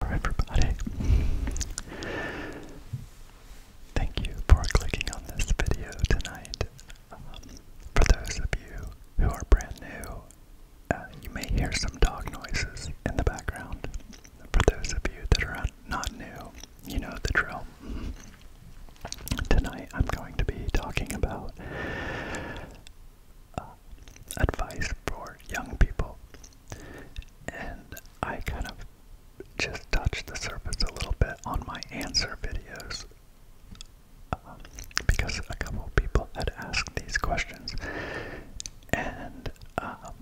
For everybody. Thank you for clicking on this video tonight. Um, for those of you who are brand new, uh, you may hear some dog noises in the background. For those of you that are not new, you know the drill. Tonight, I'm going to be talking about uh, advice for young people, and I kind of just touched the surface a little bit on my answer videos um, because a couple people had asked these questions, and um,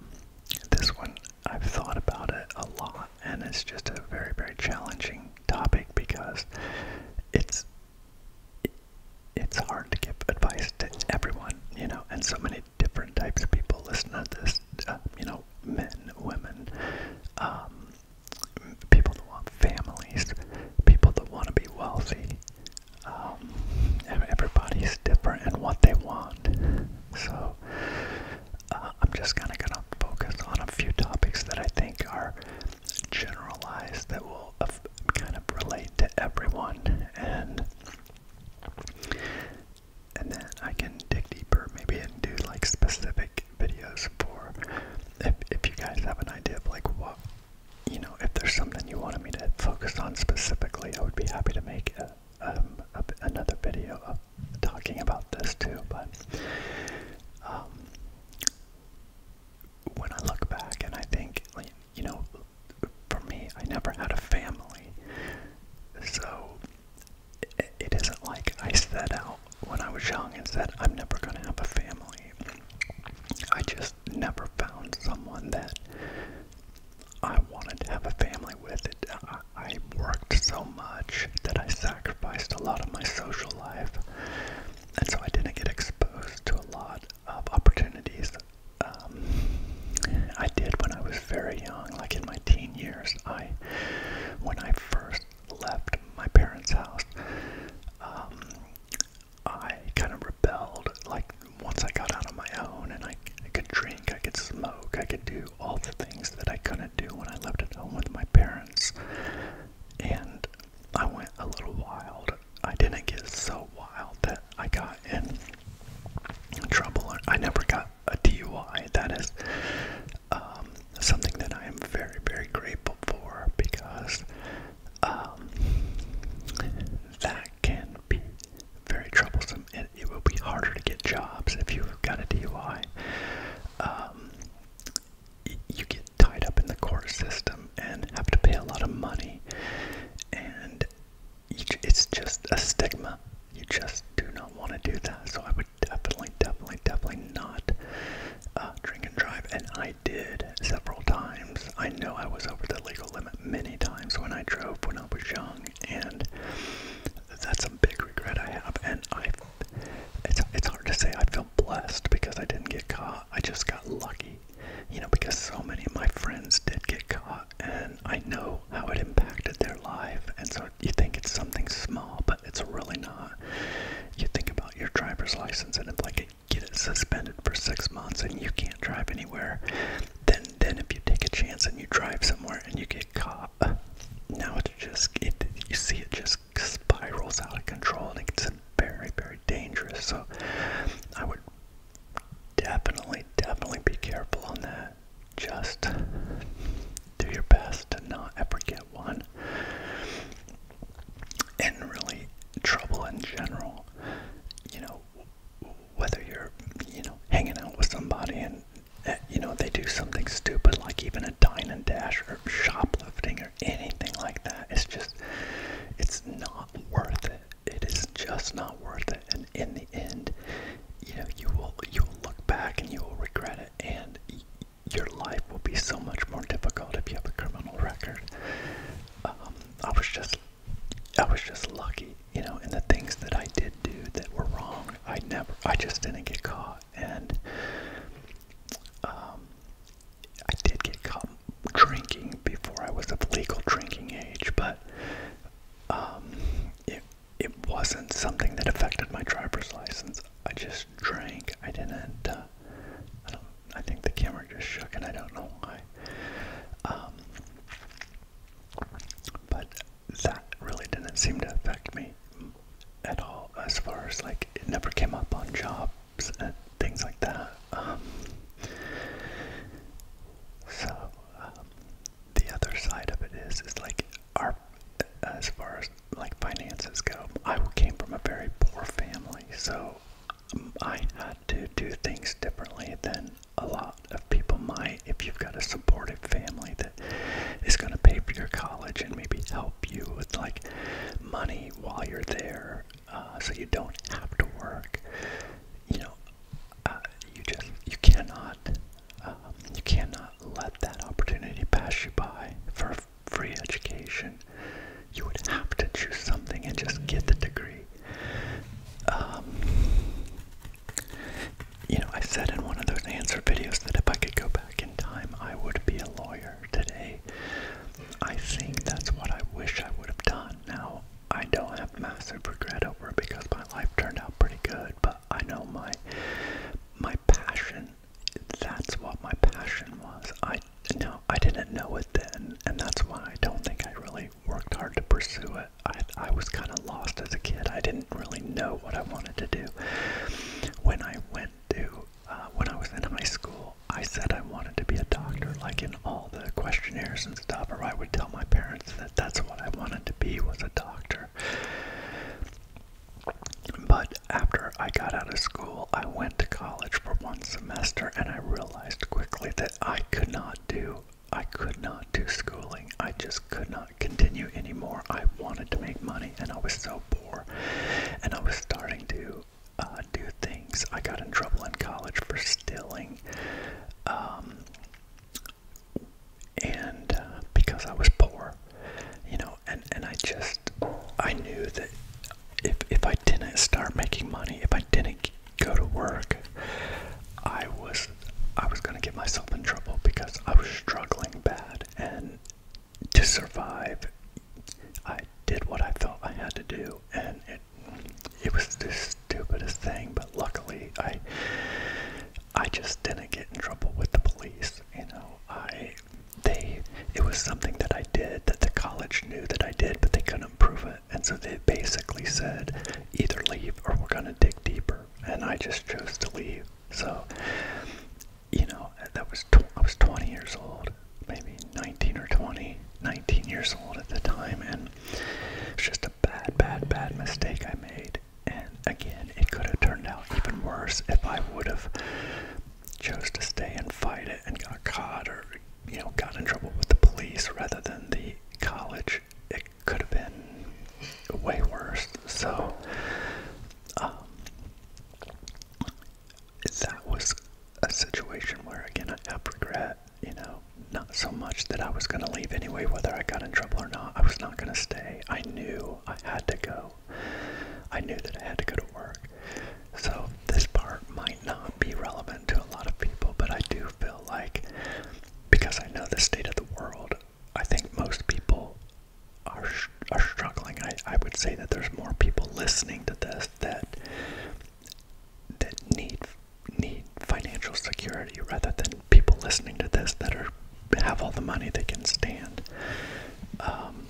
this one I've thought about it a lot, and it's just a very, very challenging topic because it's it's hard to give advice to everyone, you know, and so many different types of people listen to this, uh, you know, men, women, um, people that want families, people that want to be wealthy. Um, everybody's different and what they want. So, uh, I'm just kind of going to focus on a few topics that I think are generalized that will uh, kind of relate to everyone, and and then I can dig deeper, maybe, and do like specific videos for if if you guys have an idea of like what you know, if there's something you wanted me to focus on specifically, I would be happy to make um, a, another video of talking about this too, but um, when I look back and I think, you know, for me, I never had a family, so it isn't like I set out when I was young and said, I'm never going to have a family. I just never found someone that I wanted to have a family with. I, worked so much that I sacrificed a lot of my social life, and so I didn't get exposed to a lot of opportunities. Um, I did when I was very young, like in my teen years. I, when I first left my parents' house, um, I kind of rebelled. Like once I got out on my own, and I, I could drink, I could smoke, I could do all the things that I couldn't do when I lived at home with my parents and I went a little wild. I didn't get so wild that I got in trouble. I never got a DUI. That is um, something that I am very, very grateful for because um, that can be very troublesome. and it will be harder to get jobs if you've got a DUI. Um, you get tied up in the court system and have to pay a lot of money, and it's just a stigma. You just do not want to do that. So I would definitely, definitely, definitely not uh, drink and drive. And I did several times. I know I was over the legal limit many times when I drove when I was young, and that's a big regret I have. And I it's it's hard to say I feel blessed because I didn't get caught. I just got lucky. You know, because so many of my friends did get caught and I know how it impacted their life. And so you think it's something small, but it's really not. You think about your driver's license and if like it get it suspended for six months and you can't drive anywhere, then then if you take a chance and you drive somewhere and you get caught now it just it you see it just spirals out of control and it's very very dangerous. So I would definitely definitely be careful on that. Just do your best to not ever get one. And really, trouble in general, you know, whether you're, you know, hanging out with somebody and, eh, you know, they do something stupid like even a dine and dasher or shoplifting or anything like that. It's just, it's not worth it. It is just not worth it. And in the end, you know, you will you will look back and you will regret it, and your life will be so much more difficult if you have a criminal record. Um, I was just, I was just lucky, you know, in the things that I did do that were wrong. I never, I just didn't get caught and um, I did get caught drinking before I was of legal drinking age, but um, it it wasn't something that affected my driver's license. I just drank. I didn't. Uh, I think the camera just shook, and I don't know why. Um, but that really didn't seem to affect me at all as far as like it never came up on jobs and things like that. Um, so um, the other side of it is is like our as far as like finances go, I came from a very poor family, so um, I had to do things differently than a lot of people might. If you've got a supportive family that is going to pay for your college and maybe help you with like money while you're there uh, so you don't have to work you know uh, you just you cannot um, you cannot let that opportunity pass you by for free education you would have to choose something and just get the degree um, you know, I said in one of those answer videos that if I could go back in time, I would be a lawyer today. I think that's what I wish I would have done. Now, I don't have massive regret over it because my life turned out pretty good, but I know my my passion that's what my passion was. I no, I didn't know it then, and that's why I don't think I really worked hard to pursue it. I I was kind of lost as a kid. I didn't really know what I wanted to do. When I went do. Uh, when I was in high school, I said I wanted to be a doctor, like in all the questionnaires and stuff, or I would tell my parents that that's what I wanted to be was a doctor. But after I got out of school, I went to college for one semester and I realized quickly that I could not do I could not do schooling. I just could not continue anymore. I wanted to make money and I was so poor and I was starting to uh, do things. I got in trouble in college for stealing. Um, and uh, because I was poor, you know, and, and I just, I knew that if, if I didn't start making money, if I didn't go to work, I was, I was going to get myself in trouble because I was struggling bad and to survive, I did what I felt I had to do, and it it was the stupidest thing. But luckily, I I just didn't get in trouble with the police. You know, I they it was something that I did that the college knew that I did, but they couldn't prove it, and so they basically said either leave or we're gonna dig deeper. And I just chose to leave. So you know, that was I was 20 years old, maybe 19 or 20, 19 years old at the time, and it's just a bad, bad, bad mistake I made. And again, it could have turned out even worse if I would have chose to stay and fight it and got caught or you know got in trouble with the police rather than the college. It could have been way worse. So. Um, that was a situation where, again, I have regret. You know, not so much that I was going to leave anyway, whether I got in trouble or not. I was not going to stay. I knew I had to go. I knew that I had to go to work. So, this part might not be relevant to a lot of people, but I do feel like because I know the state of the world, I think most people are, are struggling, I, I would say that there's more people listening to this that that need need financial security rather than people listening to this that are have all the money they can stand. Um,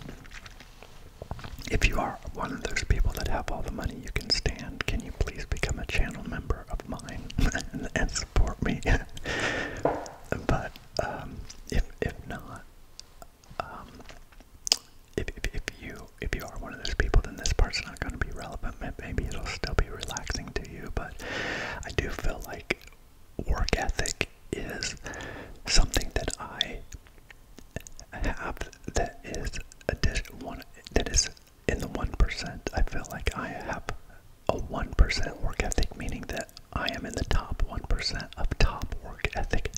if you are one of those people that have all the money you can stand, can you please become a channel member of mine and, support me? but um, if if not, um, if, if, if you if you are one of those people, then this part's not going to be relevant. Maybe it'll still be relaxing to you, but I do feel like work ethic is something that I have that is a one that is in the one percent. I feel like I have a one percent work ethic, meaning that I am in the top 1% of top work ethic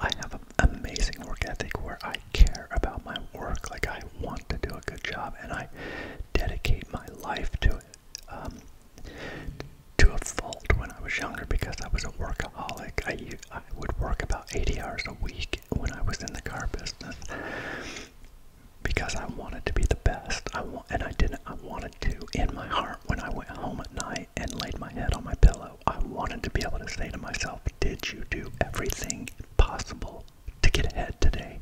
I have an amazing work ethic where I care about my work, like I want to do a good job, and I dedicate my life to it. Um, to a fault when I was younger because I was a workaholic. I, I would work about 80 hours a week when I was in the car business because I wanted to be the best. I want, and I didn't. I wanted to in my heart when I went home at night and laid my head on my pillow. I wanted to be able to say to myself, Did you do everything possible to get ahead today?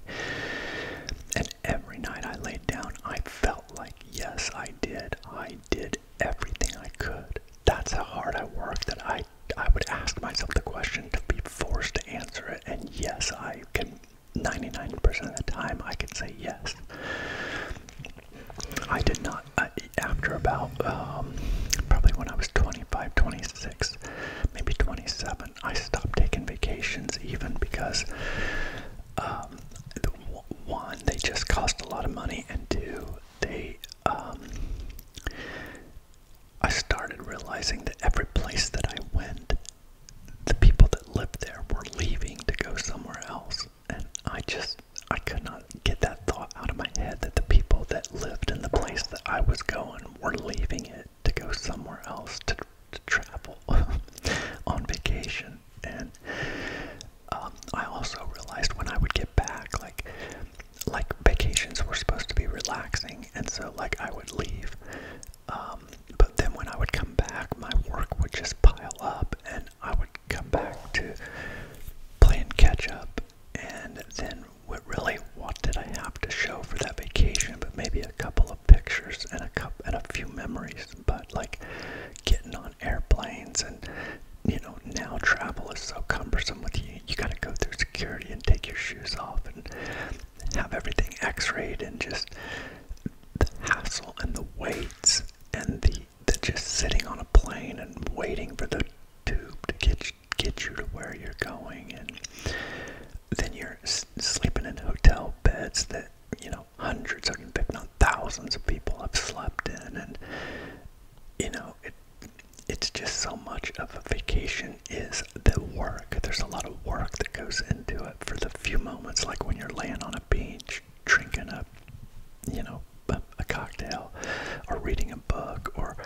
And every night I laid down, I felt like, Yes, I did. I did everything I could. That's how hard I worked that I, I would ask myself the question to be forced to answer it. And yes, I can 99% of the time I could say yes. I did not, uh, after about um, probably when I was 25, 26, maybe 27, I stopped taking vacations even because um, one, they just cost a lot of money, and two, they, um, I started realizing that every place that I went, the people that lived there were leaving to go somewhere else and I just I could not get that thought out of my head that the people that lived in the place that I was going were leaving it to go somewhere else to, to travel on vacation. And um, I also realized when I would get back, like like vacations were supposed to be relaxing, and so like I would leave. Um, but then when I would come back, my work would just pile up, and then I would come back to playing catch up and then what really what did I have to show for that vacation but maybe a couple of pictures and a cup and a few memories but like getting on airplanes and you know now travel is so cumbersome with you you got to go through security and take your shoes off and have everything x-rayed and just the hassle and the weights and the, the just sitting on a plane and waiting for the tube to get get you to where you're going, and then you're sleeping in hotel beds that you know hundreds, of, if not thousands, of people have slept in, and you know it. It's just so much of a vacation is the work. There's a lot of work that goes into it for the few moments, like when you're laying on a beach sh drinking a, you know, a, a cocktail, or reading a book, or,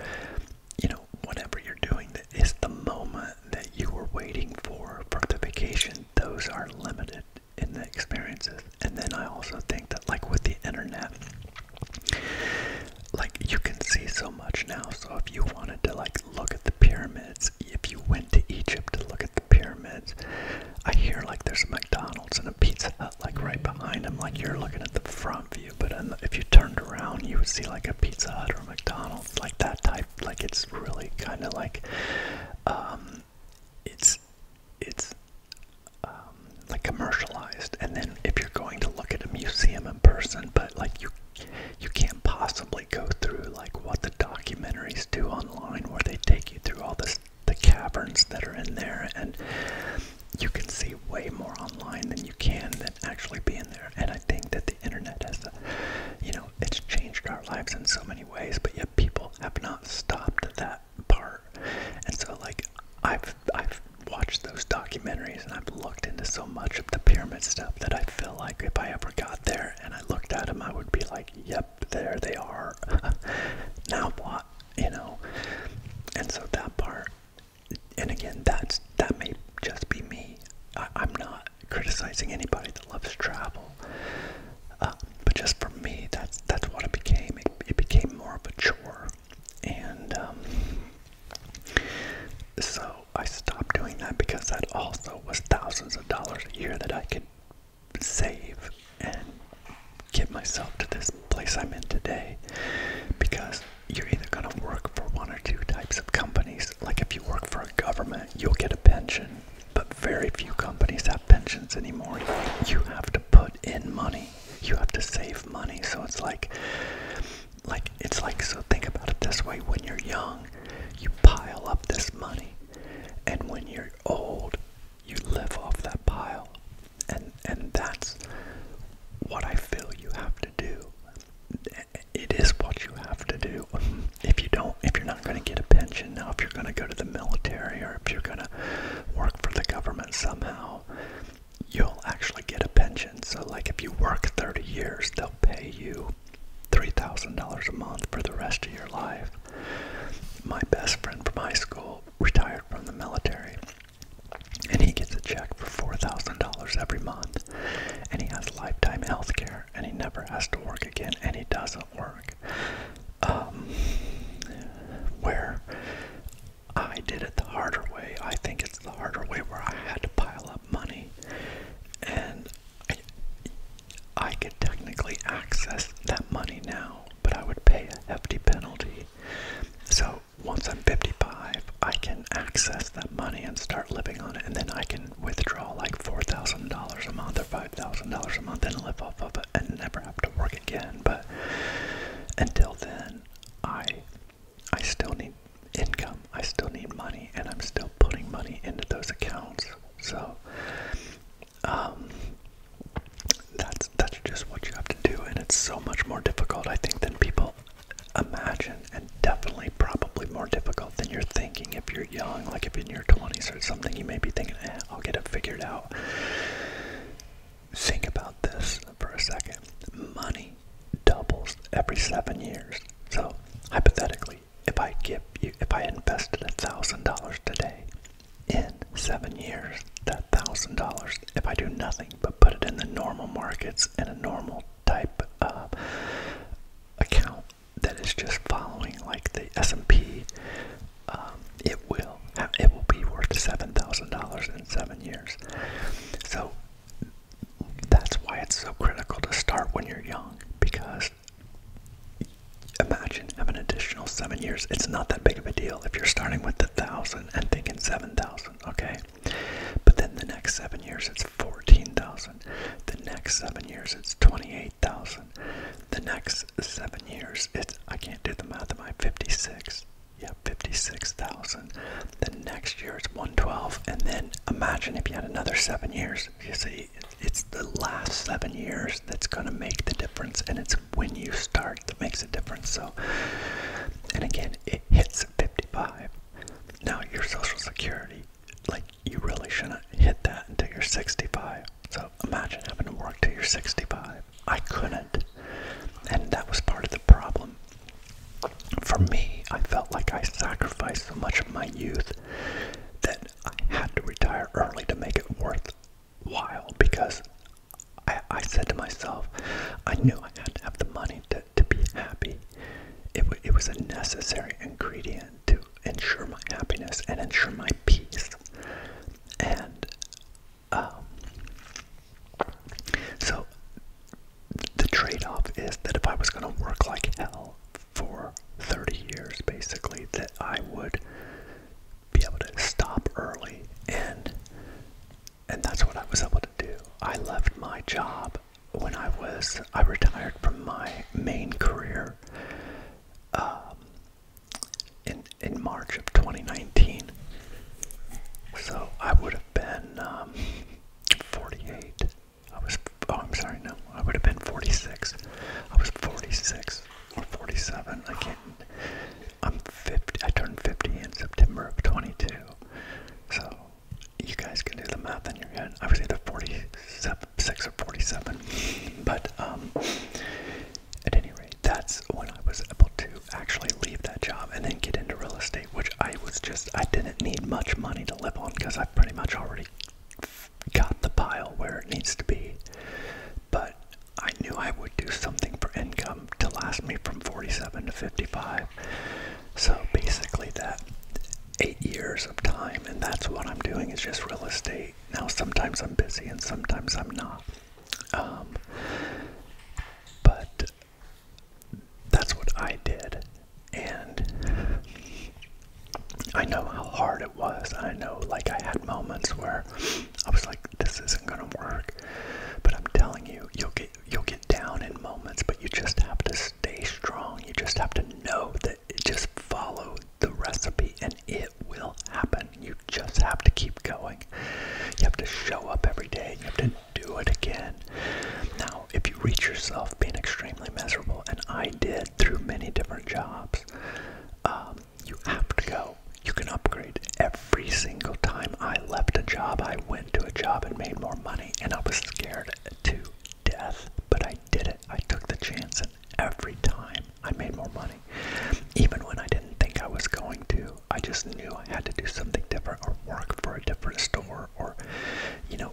you know, whatever you're doing that is the moment that you were waiting for for the vacation. Those are limited in the experiences. And then I also think that, like with the internet, like you can see so much now. So if you wanted to like look at the pyramids, if you went went to Egypt to look at the pyramids. I hear like there's a McDonald's and a Pizza Hut like right behind them, like you're looking at the front view, but the, if you turned around, you would see like a Pizza Hut or a McDonald's, like that type. Like it's really kind of like, um, it's it's um, like commercialized. And then if you're going to look at a museum in person, but like you you can't possibly go through like what the documentaries do online where they take you through all the just the caverns that are in there, and you can see way more online than you can than actually be in there. And I think that the internet has, a, uh, you know, it's changed our lives in so many ways, but yet people have not stopped at that part. And so, like, I've I've watched those documentaries and I've looked into so much of the pyramid stuff that I feel like if I ever got there and I looked at them, I would be like, "Yep, there they are. now what? You know? And so that part, and again, that's that may just be me. I, am not criticizing anybody that loves travel, uh, but just for me, that's that's what it became. It, became more of a chore, and um, so I stopped doing that because that also was thousands of dollars a year that I could save and get myself to this place I'm in today because you're either going to work for one or two types of companies. Like if you work for a government, you'll get a pension, but very few companies have pensions anymore. You have to put in money. You have to save money. So it's like like it's like so think about it this way when you're young, you pile up this money. And when you're old, you live off that pile. And and that's what I feel you have to do. It is what you have to do. If you don't, if you're not going to get a pension now, if you're going to go to the military or if you're going to work for the government somehow, you'll actually get a pension. So, like if you work 30 years, they'll pay you $3,000 a month for the rest of your life. My best friend from high school retired from the military, and he gets a check for $4,000 every month, and he has lifetime health care, and he never has to work again, and he doesn't work. Um, where I did it the harder way, I think it's the harder way where I had to pile up money, and I, I could technically access that money now, but I would pay a hefty penalty. So once I'm 55, I can access that money and start living on it, and then I can withdraw like $4,000 a month or $5,000 a month and live off of it and never have to work again. But until then, I I still need income. I still need money, and I'm still putting money into those accounts. So um, that's that's just what you have to do, and it's so much more difficult, I think, than people imagine, and definitely probably more difficult than you're thinking if you're young, like if in your 20s or something, you may be thinking, eh, I'll get it figured out. Think about this for a second. Money doubles every seven years. So, hypothetically, if I give you, if I invested a thousand dollars today, in seven years, that thousand dollars, if I do nothing but put it in the normal markets in a normal type of account that is just following like the S&P, um, it will it will be worth seven thousand dollars in seven years. So that's why it's so critical to start when you're young because imagine having an additional seven years. It's not that big of a deal if you're starting with a thousand and thinking seven thousand, okay? But then the next seven years it's fourteen thousand. The next seven years it's twenty-eight thousand. The next seven years it's I can't do the math am my fifty-six. Yeah, fifty-six thousand. The next year it's one twelve, and then imagine if you had another seven years. You see it's the last seven years that's going to make the difference, and it's when you start that makes a difference. So, and again, it hits 55. Now, your Social Security, like, you really shouldn't hit that until you're 65. So, imagine having to work till you're 65. I couldn't, and that was part of the problem. For me, I felt like I sacrificed so much of my youth that I had to retire early to make it worth while because I, said to myself, I knew I had to have the money to, to be happy. It, it was a necessary ingredient to ensure my happiness and ensure my peace. And um, so the trade off is that if I was going to work like hell for 30 years, basically, that I would be able to stop early and and that's what I was able to do. I left my job when I was I retired from my main career um, in in March of 2019. So I would have been um, 48. I was oh I'm sorry no I would have been 46. I was 46 47. I I'm 50. I turned 50 in September of 22. So you guys can do the math in your head. I the either six or 47. But um, at any rate, that's when I was able to actually leave that job and then get into real estate, which I was just, I didn't need much money to live on because I pretty much already got the pile where it needs to be but I knew I would do something for income to last me from 47 to 55. So basically that eight years of time and that's what I'm doing is just real estate. Now sometimes I'm busy and sometimes I'm not. Um, but that's what I did. And I know how hard it was. I know, like, I had moments where I was like, "This isn't gonna work." But I'm telling you, you'll get you'll get down in moments, but you just have to stay strong. You just have to know that. It just follow the recipe, and it will happen. You just have to keep going. You have to show up every day. You have to do it again. Now, if you reach yourself being extremely miserable, and I did through many different jobs. Um, you have to go. You can upgrade. Every single time I left a job, I went to a job and made more money, and I was scared to death, but I did it. I took the chance, and every time I made more money. Even when I didn't think I was going to, I just knew I had to do something different or work for a different store or, you know,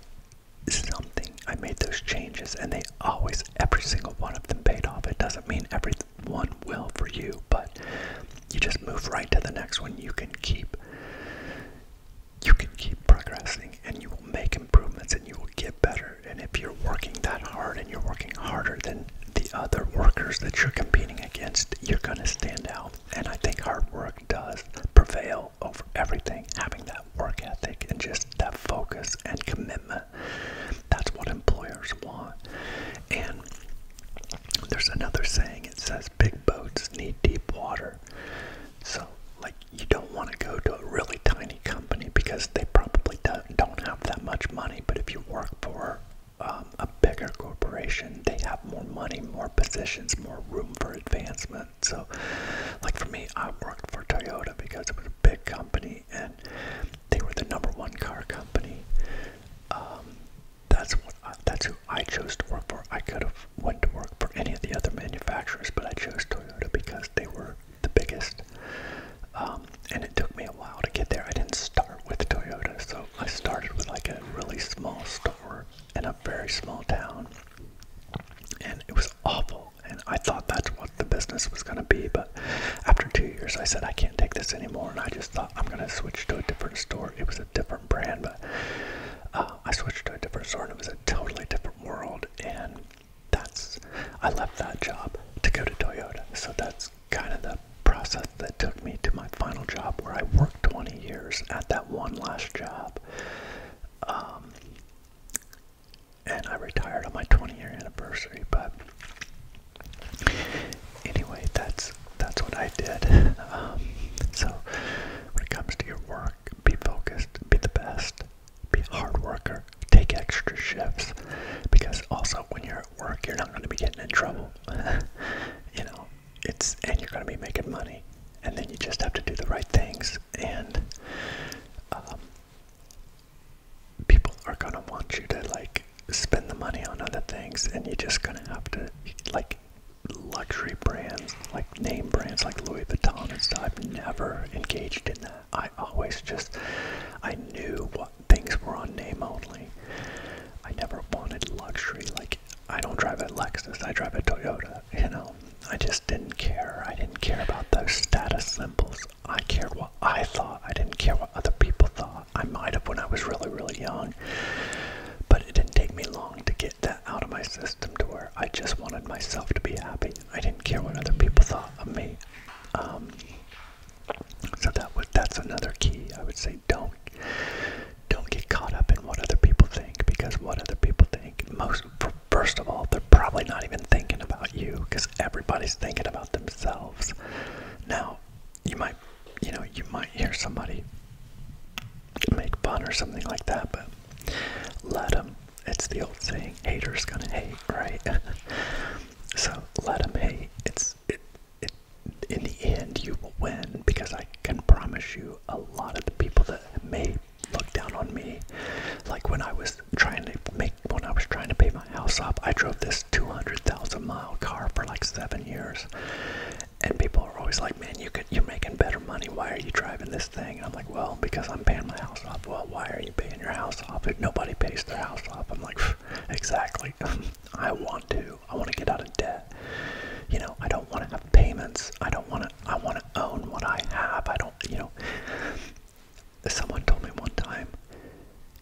something I made those changes, and they always, every single one of them paid off. It doesn't mean every one will for you, but you just move right to the next one. You can keep, you can keep progressing, and you will make improvements, and you will get better. And if you're working that hard, and you're working harder than the other workers that you're competing against, you're going to stand out. And I think hard work does prevail over everything. Having that work ethic and just that focus and commitment that. That's what employers want. And there's another saying it says big boats need deep water. So, like, you don't want to go to a really tiny company because they probably don't have that much money. But if you work for um, a bigger corporation, they have more money, more positions, more room for advancement. So, like for me, I worked for Toyota because it was a big company company, and they were the number one car company. Um, that's what I, that's who I chose to work for. I could have went to work for any of the other manufacturers, but I chose Toyota because they were the biggest. Um, and it took me a while to get there. I didn't start with Toyota, so I started with like a really small store in a very small town, and it was awful level. And I thought that's what the business was going to be. But after two years, I said, I can't take this anymore. And I just thought, I'm going to switch to a different store. It was a different brand, but uh, I switched to a different store and it was a totally different world. And that's, I left that job to go to Toyota. So that's kind of the process that took me to my final job where I worked 20 years at that one last job. Um, and I retired on my 20 year anniversary. But anyway, that's that's what I did. Um, so when it comes to your work, be focused, be the best, be a hard worker, take extra shifts, because also when you're at work, you're not going to be getting in trouble. you know, it's and you're going to be making money, and then you just have to do the right things and. Um, people are gonna want you to like spend the money on other things and you're just gonna have to like luxury brands like name brands like Louis Vuitton and stuff I've never engaged in that. I always just I knew what things were on name only. I never wanted luxury like I don't drive a Lexus, I drive a Toyota, you know. I just didn't care. I didn't care about those status symbols. I cared what I thought. I didn't care what other people thought. I might have when I was really, really young. But it didn't take me long to get that out of my system to where I just wanted myself to be happy. I didn't care what other people thought of me. Um, so that was that's another key. I would say don't don't get caught up in what other people think because what other people think most first of all they're probably not even thinking about you because everybody's thinking about themselves. Now, you might, you know, you might hear somebody make fun or something like that, but let them. It's the old saying, haters gonna hate, right? so let them hate. It's it, it. In the end, you will win because I can promise you, a lot of the people that may look down on me, like when I was trying to make when I was trying to pay my house off, I drove this 200,000 mile car for like seven years, and people are always like, "Man, you could you're making better money. Why are you driving this thing?" And I'm like, "Well, because I'm paying my house off." Well, why are you paying your house off? If nobody pays their house off, I'm like, "Exactly. I want to. I want to get out of debt." You know, I don't want to have payments. I don't want to. I want to own what I have. I don't. You know, Someone told me one time,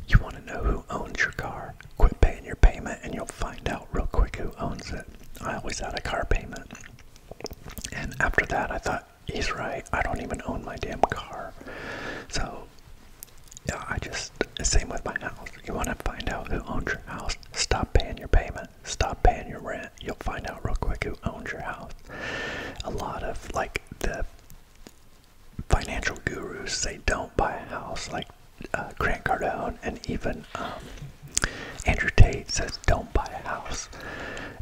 you want to know who owns your car? Quit paying your payment and you'll find out real quick who owns it. I always had a car payment. And after that, I thought, he's right. I don't even own my damn car. So, yeah, I just, same with my house. You want to find out who owns your house? Stop paying your payment. Stop paying your rent. You'll find out real quick who owns your house. A lot of, like, the financial gurus say don't buy a house, like uh, Grant Cardone and even um, Andrew Tate says don't buy a house.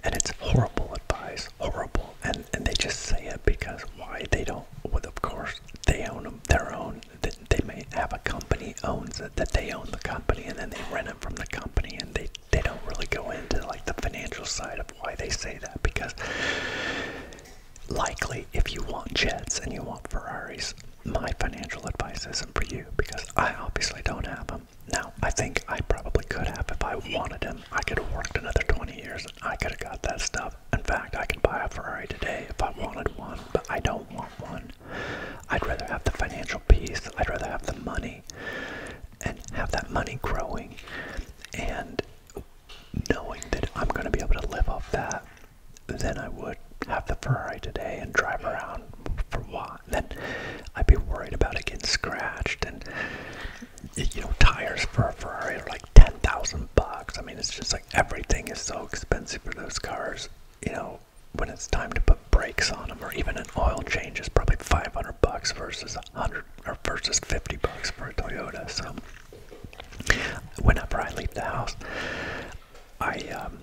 And it's horrible advice, horrible. And, and they just say it because why? They don't, well, of course, they own them, their own. They, they may have a company owns it, that they own the company, and then they rent it from the company, and they, they don't really go into like the financial side of why they say that because likely if you want jets and you want Ferraris, my financial advice isn't for you because I obviously don't have them. Now, I think I probably could have if I wanted them. I could have worked another 20 years and I could have got that stuff. In fact, I could buy a Ferrari today if I wanted one, but I don't want one. I'd rather have the financial peace, I'd rather have the money and have that money growing and knowing that I'm going to be able to live off that then I would have the Ferrari today and drive around for a while. Then I'd be worried about it getting scratched and you know tires for a Ferrari are like ten thousand bucks. I mean it's just like everything is so expensive for those cars. You know when it's time to put brakes on them or even an oil change is probably five hundred bucks versus 100 or versus 50 bucks for a Toyota. So whenever I leave the house, I um,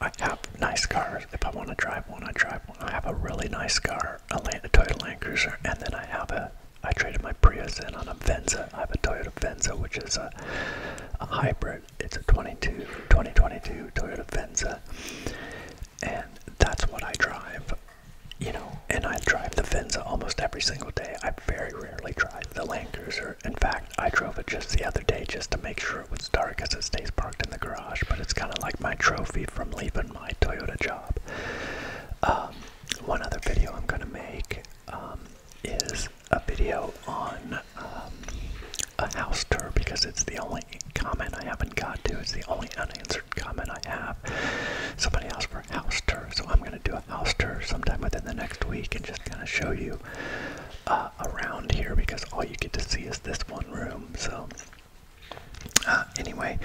I have nice cars. If I want to drive one, I drive one. I have a really nice car, a Toyota Land Cruiser, and then I have a I traded my Prius in on a Venza. I have a Toyota Venza, which is a, a hybrid. It's a 22, 2022 Toyota Venza and that's what I drive. You know, and I drive the Venza almost every single day. I very rarely drive the Land Cruiser. In fact, I drove it just the other day just to make sure it was dark because it stays parked in the garage. But it's kind of like my trophy from leaving my Toyota job. Um, one other video I'm going to make um, is a video on um, a house tour because it's the only comment I haven't got to. It's the only un unanswered comment I have. Somebody asked for a house tour, so I'm going to do a house tour sometime within the next week and just kind of show you uh, around here because all you get to see is this one room. So, uh, anyway,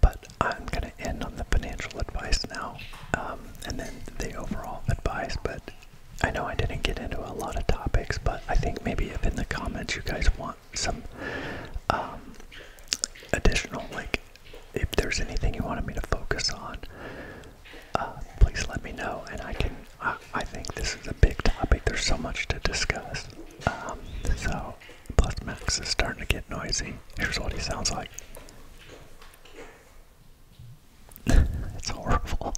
but I'm going to end on the financial advice now um, and then the overall advice. But I know I didn't get into a lot of topics, but I think maybe if in the comments you guys want some um, additional, like, if there's anything you wanted me to focus on, uh, please let me know, and I can. I, think this is a big topic. There's so much to discuss. Um, so, plus Max is starting to get noisy. Here's what he sounds like. it's horrible.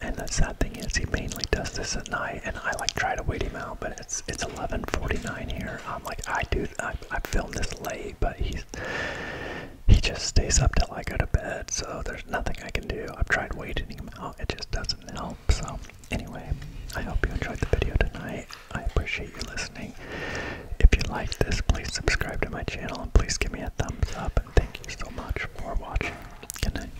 and the sad thing is, he mainly does this at night, and I like try to wait him out, but it's it's 11:49 here, I'm like, I do, I, I film this late, but he's he just stays up till I go to bed, so there's nothing I can do. I've tried waiting him out, it just doesn't help. So, anyway, I hope you enjoyed the video tonight. I appreciate you listening. If you like this, please subscribe to my channel and please give me a thumbs up. And thank you so much for watching. Good night.